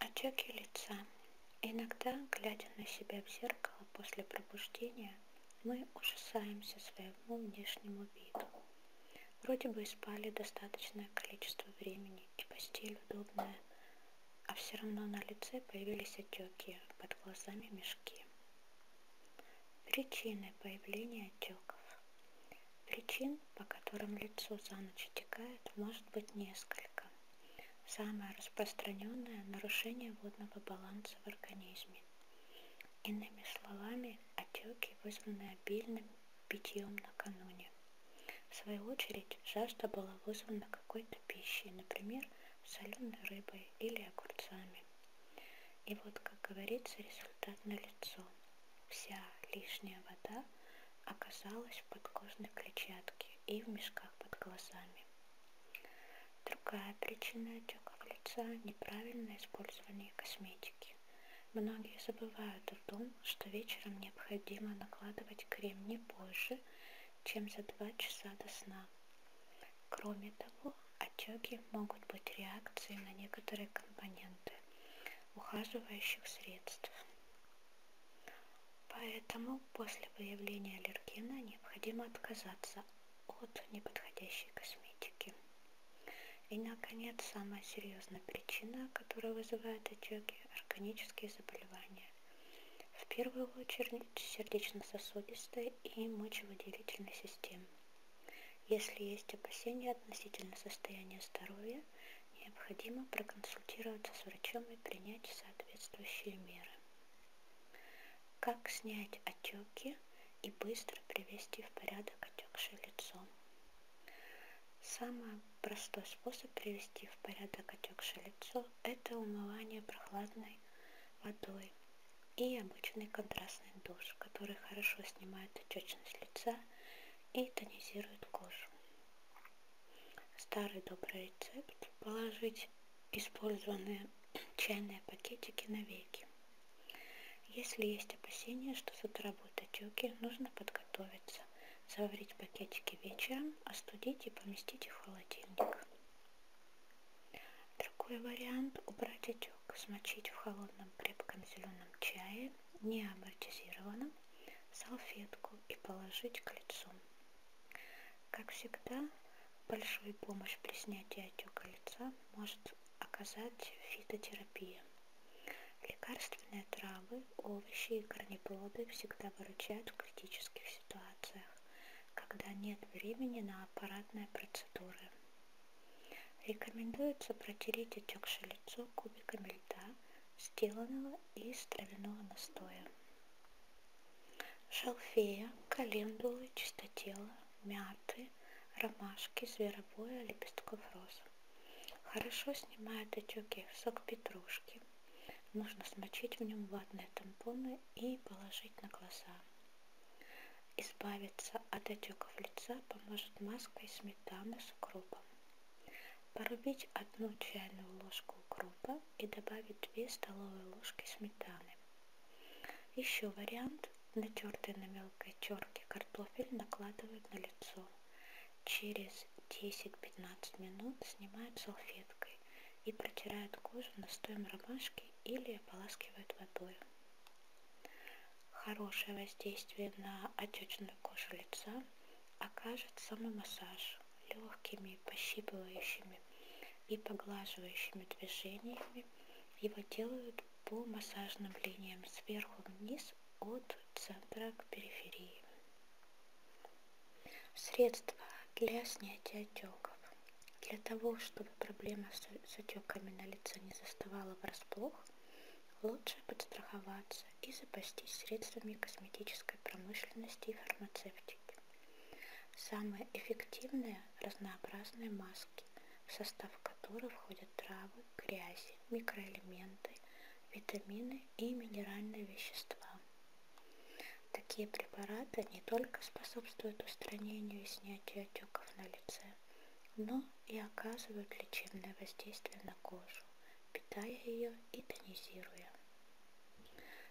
Очаги лица. Иногда, глядя на себя в зеркало после пробуждения, мы ужасаемся своему внешнему виду. Вроде бы и спали достаточное количество времени, и постель удобная, а все равно на лице появились отеки, под глазами мешки. Причины появления отеков. Причин, по которым лицо за ночь отекает, может быть несколько. Самое распространенное – нарушение водного баланса в организме. Иными словами, отеки вызваны обильным питьем накануне. В свою очередь, жажда была вызвана какой-то пищей, например, соленой рыбой или огурцами. И вот, как говорится, результат налицо. Вся лишняя вода оказалась в подкожной клетчатке и в мешках под глазами. Другая причина отеков лица – неправильное использование косметики. Многие забывают о том, что вечером необходимо накладывать крем не позже, чем за 2 часа до сна. Кроме того, отеки могут быть реакцией на некоторые компоненты ухаживающих средств. Поэтому после выявления аллергена необходимо отказаться от неподходящей косметики. И, наконец, самая серьезная причина, которая вызывает отеки – органические заболевания. В первую очередь сердечно-сосудистой и мочевыделительной системы. Если есть опасения относительно состояния здоровья, необходимо проконсультироваться с врачом и принять соответствующие меры. Как снять отеки и быстро привести в порядок отекшее лицо? Самый простой способ привести в порядок отекшее лицо – это умывание прохладной водой и обычный контрастный душ, который хорошо снимает отечность лица и тонизирует кожу. Старый добрый рецепт – положить использованные чайные пакетики на веки. Если есть опасения, что заработают отеки, нужно подготовиться, заварить пакетики вечером, остудить и поместить их в холодильник. Другой вариант – убрать отек, смочить в холодном крепком зеленом чае, не амортизированном, салфетку и положить к лицу. Как всегда, большую помощь при снятии отека лица может оказать фитотерапия. Лекарственные травы, овощи и корнеплоды всегда выручают в критических ситуациях, когда нет времени на аппаратные процедуры. Рекомендуется протереть отекшее лицо кубиками льда, сделанного из травяного настоя. Шалфея, календулы, чистотела, мяты, ромашки, зверобоя, лепестков роз. Хорошо снимает отеки сок петрушки. Нужно смочить в нем ватные тампоны и положить на глаза. Избавиться от отеков лица поможет маска из сметаны с укропом. Порубить одну чайную ложку укропа и добавить 2 столовые ложки сметаны. Еще вариант. Натертый на мелкой терке картофель накладывают на лицо. Через 10-15 минут снимают салфеткой и протирают кожу настоем ромашки или ополаскивают водой. Хорошее воздействие на отечную кожу лица окажет самый массаж легкими пощипывающими и поглаживающими движениями его делают по массажным линиям сверху вниз от центра к периферии. Средства для снятия отеков. Для того, чтобы проблема с отеками на лице не заставала врасплох, лучше подстраховаться и запастись средствами косметической промышленности и фармацевтики. Самые эффективные разнообразные маски, в состав которых входят травы, грязи, микроэлементы, витамины и минеральные вещества. Такие препараты не только способствуют устранению и снятию отеков на лице, но и оказывают лечебное воздействие на кожу, питая ее и тонизируя.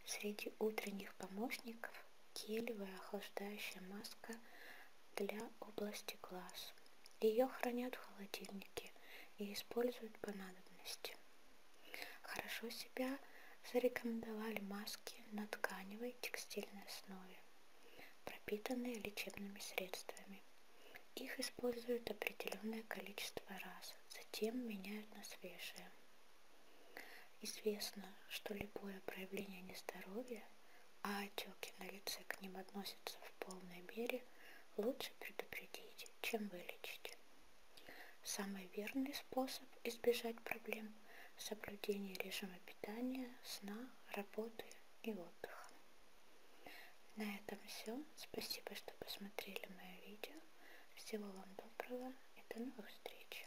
Среди утренних помощников гелевая охлаждающая маска для области глаз. Ее хранят в холодильнике и используют по надобности. Хорошо себя зарекомендовали маски на тканевой текстильной основе, пропитанные лечебными средствами. Их используют определенное количество раз, затем меняют на свежие здоровья. Известно, что любое проявление нездоровья, а отеки на лице к ним относятся в полной мере, лучше предупредить, чем вылечить. Самый верный способ избежать проблем – соблюдение режима питания, сна, работы и отдыха. На этом все. Спасибо, что посмотрели мое видео. Всего вам доброго и до новых встреч.